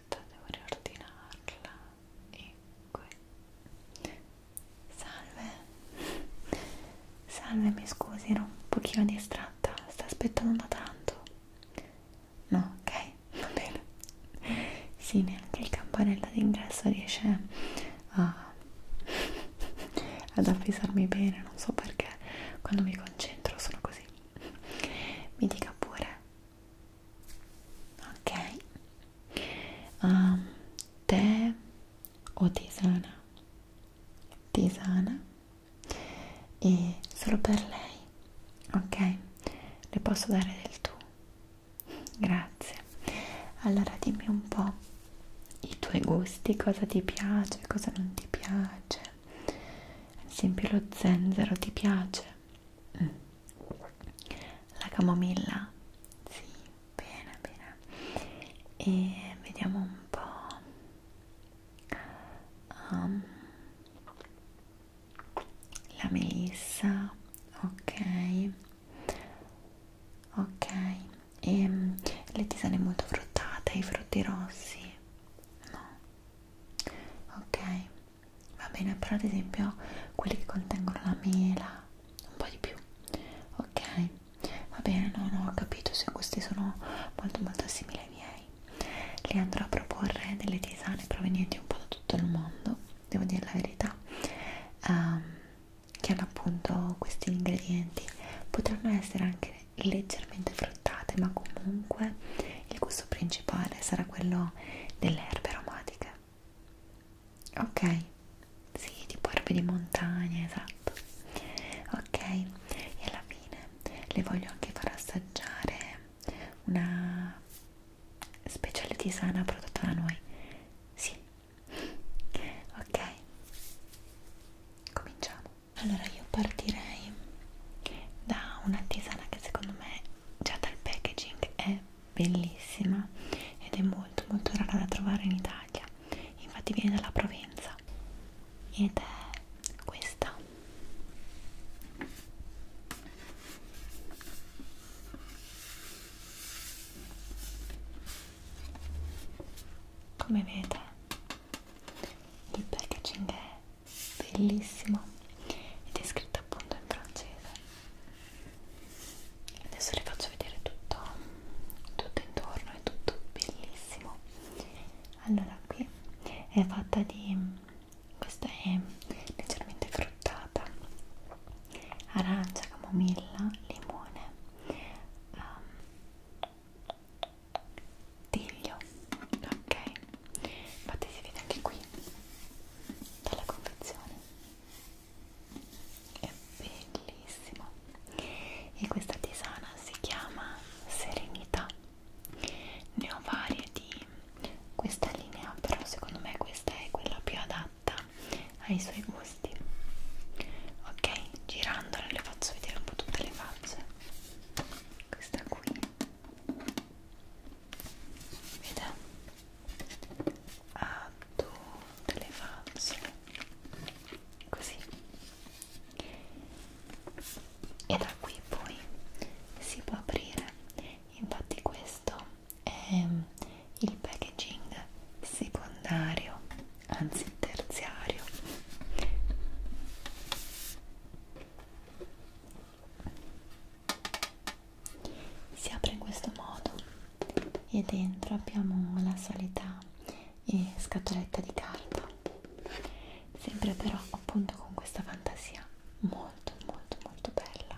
questa devo riordinarla e ecco. qui salve salve mi scusi ero un pochino distratta sta aspettando da tanto no ok va bene sì neanche il campanello d'ingresso riesce a ad avvisarmi bene non so perché quando mi concentro sono così mi dica pure ok um, tè o tisana tisana e solo per lei ok le posso dare del tu grazie allora dimmi un po i tuoi gusti cosa ti piace cosa non ti piace ad esempio lo zenzero ti piace? Mm. la camomilla? sì, bene, bene e vediamo un po' um, la melissa ok ok e ehm, le tisane molto fruttate, i frutti rossi no ok va bene però ad esempio quelli che contengono la mela un po' di più ok va bene no no ho capito se questi sono molto molto simili ai miei li andrò a proporre delle tisane provenienti un po' da tutto il mondo devo dire la verità um, che hanno appunto questi ingredienti potranno essere anche leggermente fruttate ma comunque il gusto principale sarà quello delle erbe aromatiche ok sì tipo erbe di montagna esatto ok e alla fine le voglio anche far assaggiare una speciale tisana prodotta da noi sì ok cominciamo allora io partirei da una tisana che secondo me già dal packaging è bellissima ed è molto molto rara da trovare in Italia infatti viene dalla Provenza ed è questa come vedete il packaging è bellissima ed è scritta appunto in francese adesso le faccio vedere tutto tutto intorno è tutto bellissimo allora qui è fatta di questa è leggermente fruttata arancia camomilla limone um, tiglio ok infatti si vede anche qui dalla confezione è bellissimo e questa tisana si chiama serenità ne ho varie di questa linea però secondo me questa è quella più adatta ai suoi gusti ok girandola le faccio vedere un po' tutte le facce questa qui vede ha ah, tutte le facce così e da qui poi si può aprire infatti questo è mm, il packaging secondario anzi terziario si apre in questo modo e dentro abbiamo la solita eh, scatoletta di carta sempre però appunto con questa fantasia molto molto molto bella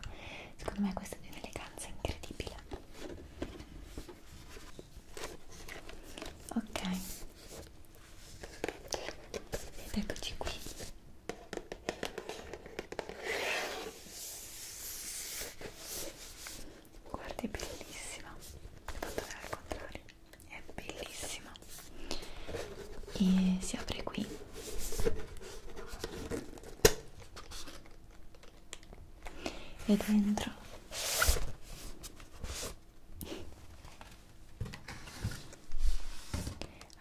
secondo me questa è un'eleganza incredibile ok ed eccoci qui guarda è bellissima l'ho fatto vedere al contrario è bellissima e si apre qui e dentro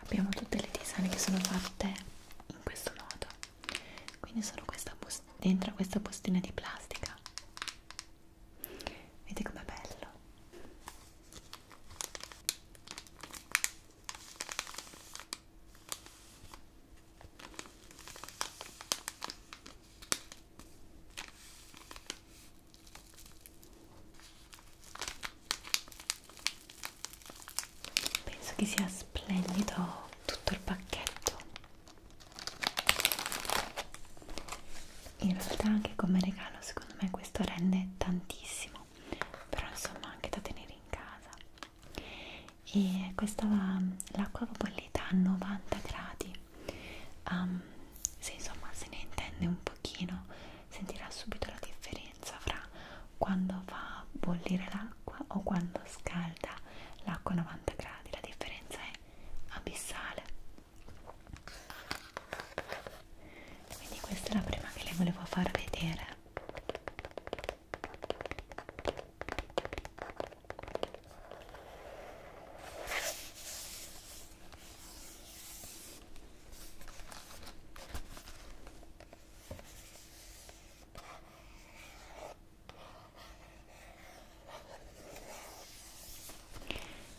abbiamo tutte le tisane che sono fatte in questo modo quindi sono questa dentro questa bustina di plastica vedete com'è bello Penso che sia splendido tutto il pacchetto. In realtà anche come regalo secondo me questo rende tantissimo, però insomma anche da tenere in casa. E questa mm, l'acqua bollita a 90 gradi um, ehm, se insomma se ne intende un pochino sentirà subito la differenza fra quando fa a bollire l'acqua o quando scalda l'acqua a 90 gradi la differenza è abissale quindi questa è la prima che le volevo far vedere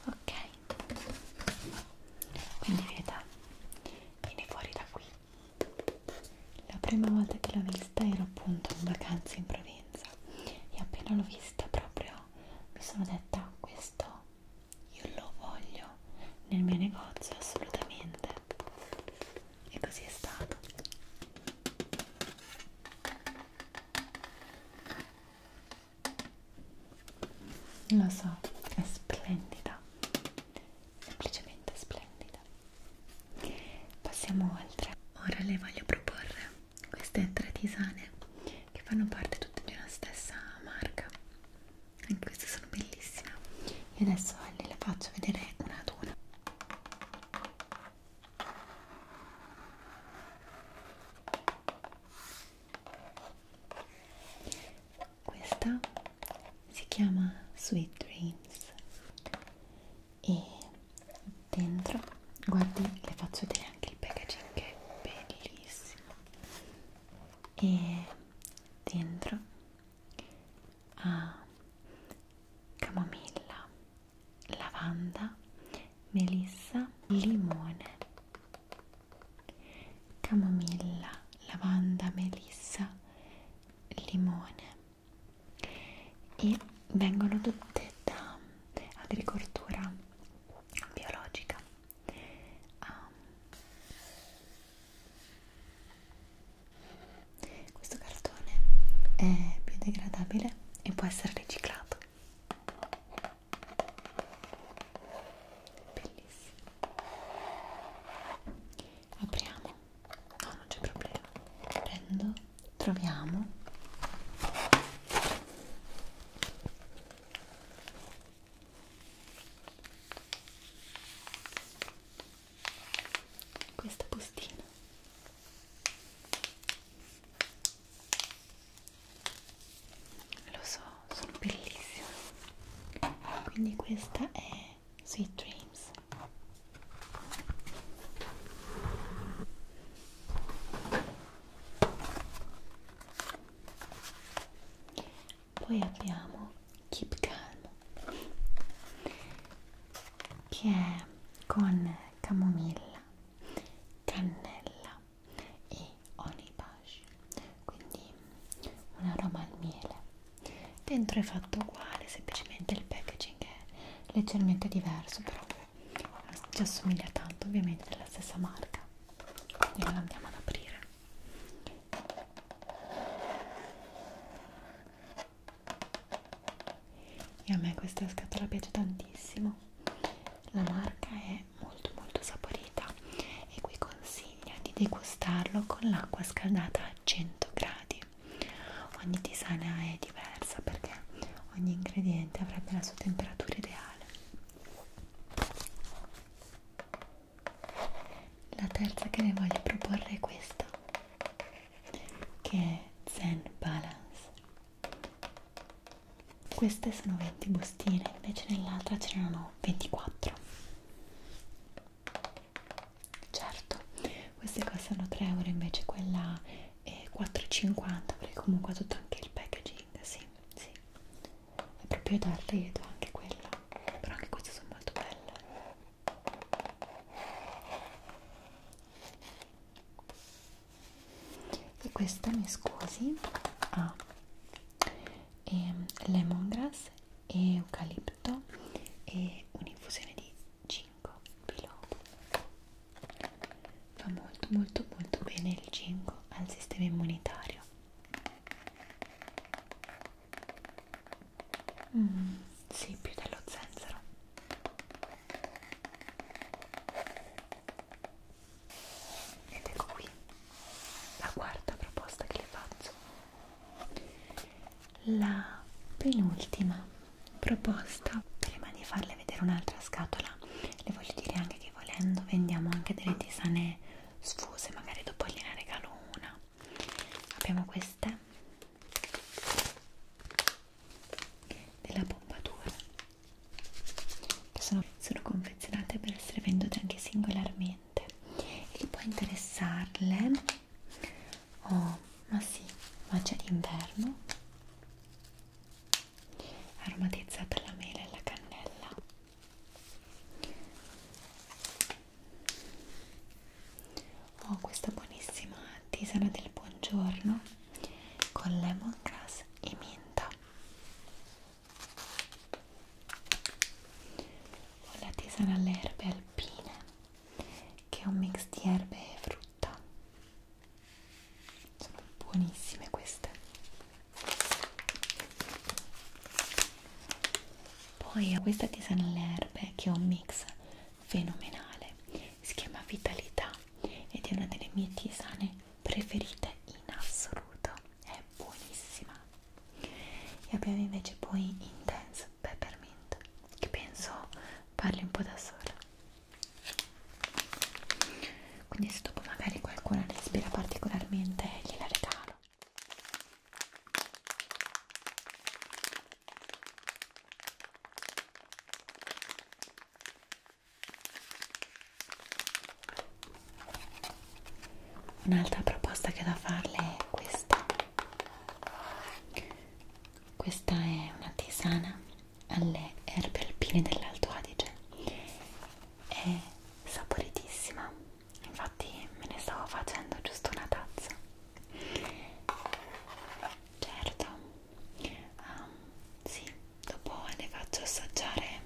ok quindi veda viene fuori da qui la prima volta che l'ho vista ero appunto in vacanza in Provenza e appena l'ho vista proprio mi sono detta questo io lo voglio nel mio negozio assolutamente e così è stato lo so è splendida semplicemente splendida passiamo oltre ora le voglio proporre queste tre tisane che fanno parte tutte di una stessa marca anche queste sono bellissime e adesso le la faccio vedere una ad una questa si chiama Sweet Dreams e dentro guardi le faccio vedere anche il packaging che è bellissimo e dentro ha camomilla lavanda melissa limone camomilla lavanda melissa limone e vengono tutte da agricoltura biologica um, questo cartone è biodegradabile e può essere riciclato bellissimo apriamo no non c'è problema prendo troviamo questa bustina lo so sono bellissime quindi questa è Sweet Dreams poi abbiamo Keep Calm che è con camomilla, cannella e onibash quindi un aroma al miele dentro è fatto uguale semplicemente il packaging è leggermente diverso però ci assomiglia tanto ovviamente della stessa marca e la andiamo ad aprire e a me questa scatola piace tantissimo la marca è molto molto saporita e qui consiglia di degustarlo con l'acqua scaldata a 100 gradi ogni tisana è diversa perché ogni ingrediente avrebbe la sua temperatura ideale. La terza che vi voglio proporre è questa, che è Zen Balance. Queste sono 20 bustine, invece nell'altra ce n'erano 24. Certo, queste costano 3 euro, invece quella e 4,50 perché comunque ha tutto anche il packaging sì, sì è proprio d'arte anche quella però anche queste sono molto belle e questa mi scusi ha ah, lemongrass e eucalipto e un'infusione di 5 biloba fa molto molto molto bene il ginkgo al sistema immunitario mm, sì, più dello zenzero ed ecco qui la quarta proposta che le faccio la penultima proposta prima di farle vedere un'altra scatola le voglio dire anche che volendo vendiamo anche delle tisane sfuse magari dopo gliene regalo una abbiamo queste della Pompadour che sono, sono confezionate per essere vendute anche singolarmente e che può interessarle oh ma sì ma c'è l'inverno aromatizzata alla mela e alla cannella ho oh, questa buonissima tisana del buongiorno con lemongrass e menta ho la tisana alle erbe alpine che è un mix di erbe e frutti ricotta sono buonissime queste poi ho questa tisana alle erbe che è un mix fenomenale si chiama Vitalità ed è una delle mie tisane preferite in assoluto è buonissima e abbiamo invece poi Intense Peppermint che penso parli un po' da sola quindi se dopo magari qualcuno ne ispira particolarmente gliela regalo un'altra proposta che ho da farle è questa questa è una tisana alle erbe alpine dell'Alto Adige è saporitissima infatti me ne stavo facendo giusto una tazza certo um, sì dopo le faccio assaggiare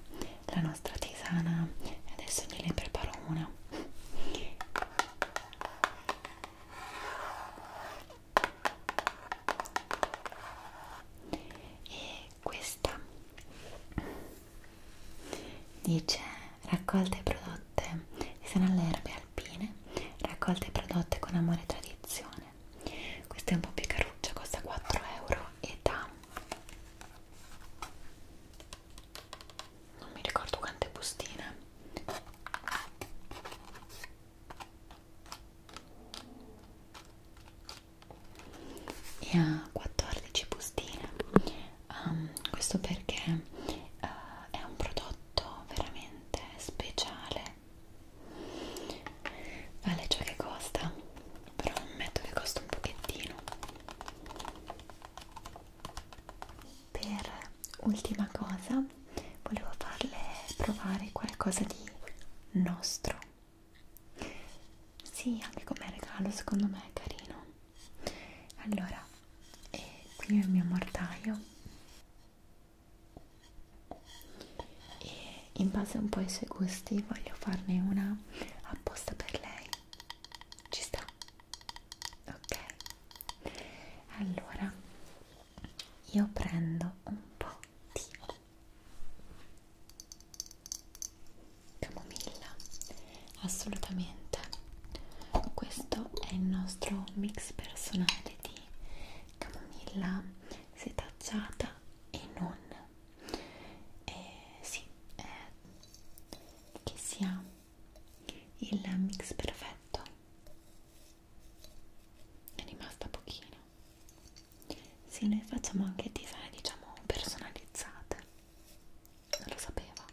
la nostra tisana e adesso gliene preparo una e questa dice raccolte prodotte sono alle erbe alpine raccolte prodotte con amore e tradizione questa è un po' più caruccia costa 4 euro e da non mi ricordo quante bustine e ha 14 bustine um, questo perché uh, è un prodotto veramente speciale vale ciò che costa però ammetto che costa un pochettino per ultima cosa volevo farle provare qualcosa di nostro sì anche come regalo secondo me è carino allora e eh, qui ho il mio mortaio e in base un po' ai suoi gusti voglio farne una apposta per lei ci sta ok allora io prendo un po' Notti Camomilla assolutamente questo è il nostro mix personale di camomilla setacciata e non eh, sì, eh, che sia il mix perfetto è rimasta pochino sì noi facciamo anche design diciamo personalizzate non lo sapeva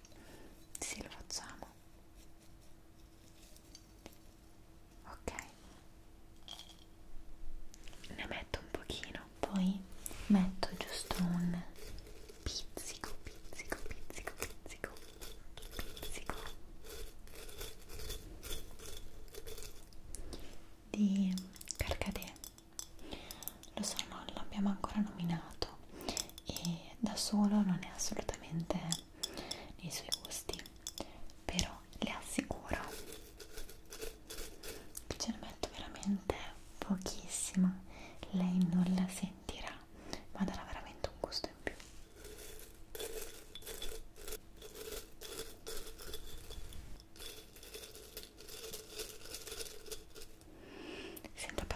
sì lo facciamo ok ne metto un pochino poi metto giusto un pizzico pizzico pizzico pizzico pizzico di Carcadè lo so non l'abbiamo ancora nominato e da solo non è assolutamente nei suoi gusti però le assicuro che ce ne metto veramente pochissima lei non la sentirà ma darà veramente un gusto in più Sento però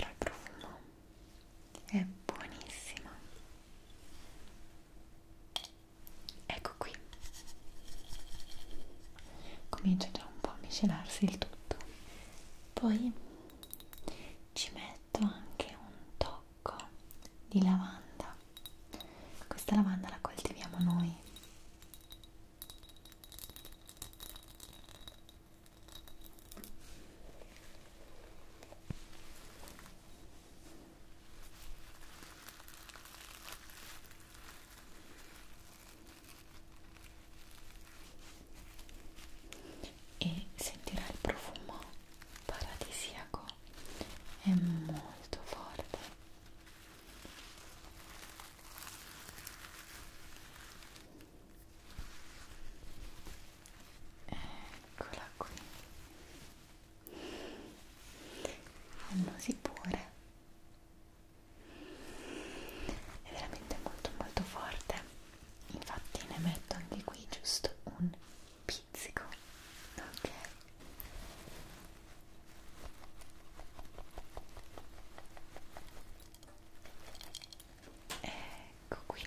il profumo, è buonissima. Ecco qui, comincia già un po' a miscelarsi il tutto. Poi ci metto anche un top fiocco di lavanda questa lavanda la coltiviamo noi e sentirà il profumo paradisiaco è molto forte eccola qui annosi pure è veramente molto molto forte infatti ne metto anche qui giusto un pizzico schizzico ok ecco qui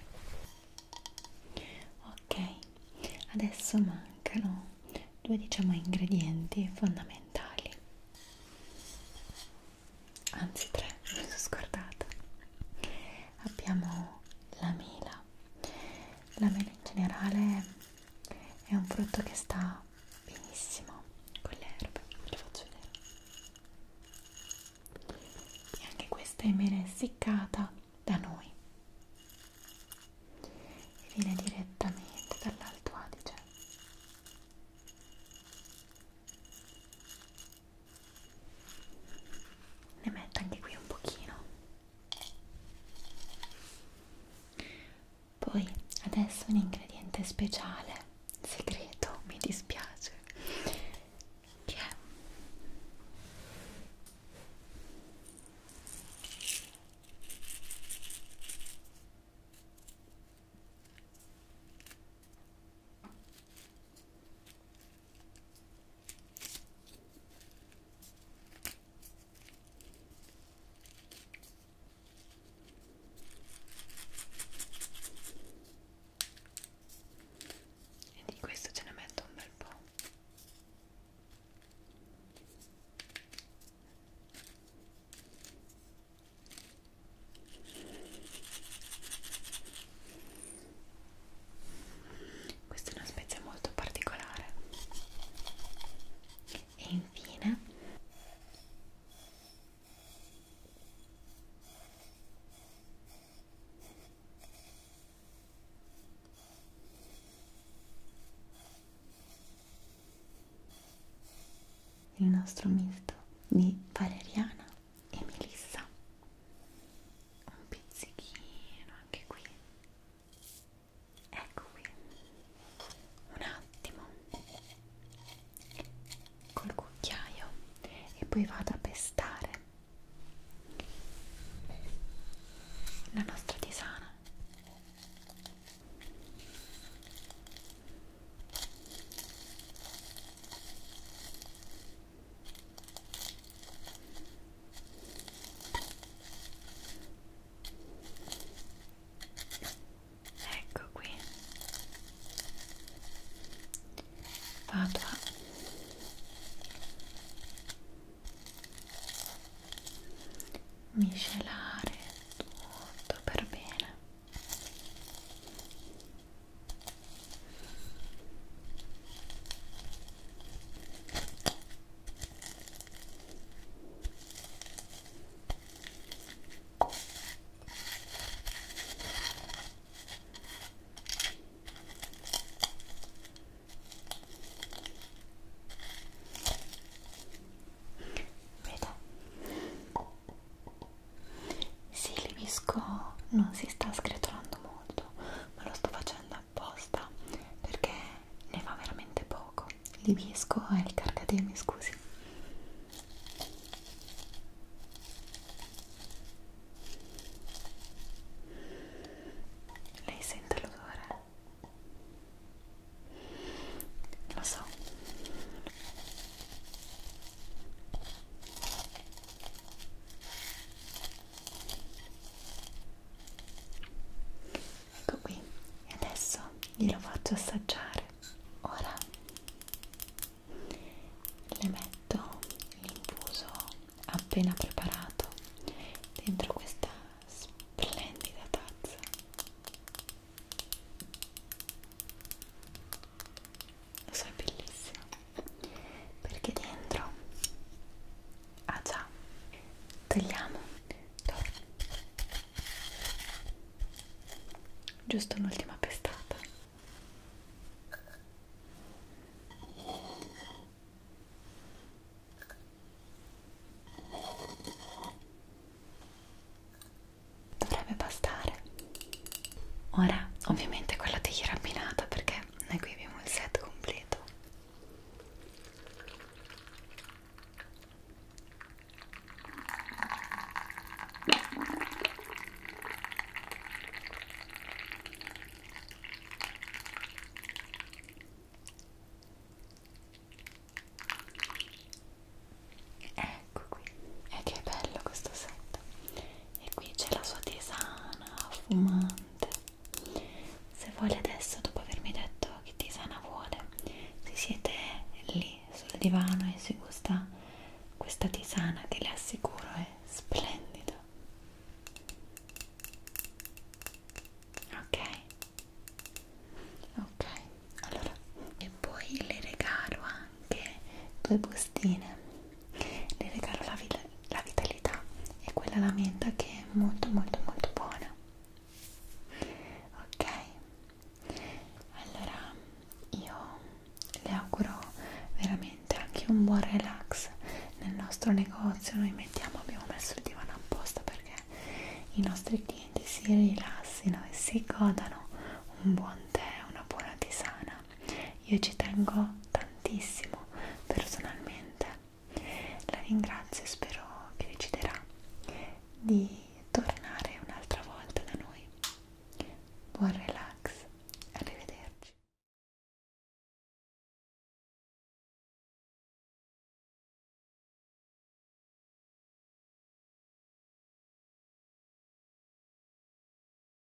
ok adesso mancano due diciamo ingredienti fondamentali anzi tre mi sono scordata abbiamo la mela l'amelo in generale è un frutto che sta benissimo con le erbe, ve lo faccio vedere e anche questa è mele essiccata da noi e viene direttamente dall'Alto Adige ne metto anche qui un pochino poi adesso un ingrediente speciale, segreto, mi dispiace, che è e di questo ce ne metto un bel po' Questa è una spezia molto particolare. E infine il nostro misto di valeriana e melissa un pizzichino anche qui ecco qui un attimo col cucchiaio e poi vado a pestare la nostra tisana Ecco qui. Fatua. Miscelare tutto per bene. Vedo, sì, l'ibisco non si sta scretolando molto ma lo sto facendo apposta perché ne fa veramente poco l'ibisco e eh, il carcademi scusi lei sente l'odore? lo so ecco qui e adesso glielo faccio assaggiare ora le metto l'infuso appena preparato dentro questa splendida tazza lo so è bellissimo perché dentro ah già tagliamo Dove? giusto un'ultima pestata dovrebbe bastare ora ovviamente quella di rabbinata perché noi qui abbiamo il set completo Ecco qui, è che è bello questo set e qui c'è la sua tisana fumante se vuole adesso dopo avermi detto che tisana vuole si siete lì sul divano e si gusta questa tisana che le assicuro è splendida ok ok allora e poi le regalo anche due bustine le regalo la, vita, la vitalità e quella la menta che è molto molto molto buona ok allora io le auguro veramente anche un buon relax nel nostro negozio noi mettiamo abbiamo messo il divano apposta perché i nostri clienti si rilassino e si godano un buon tè una buona tisana settimana io ci tengo tantissimo personalmente la ringrazio e spero che deciderà di tornare un'altra volta da noi buon relax arrivederci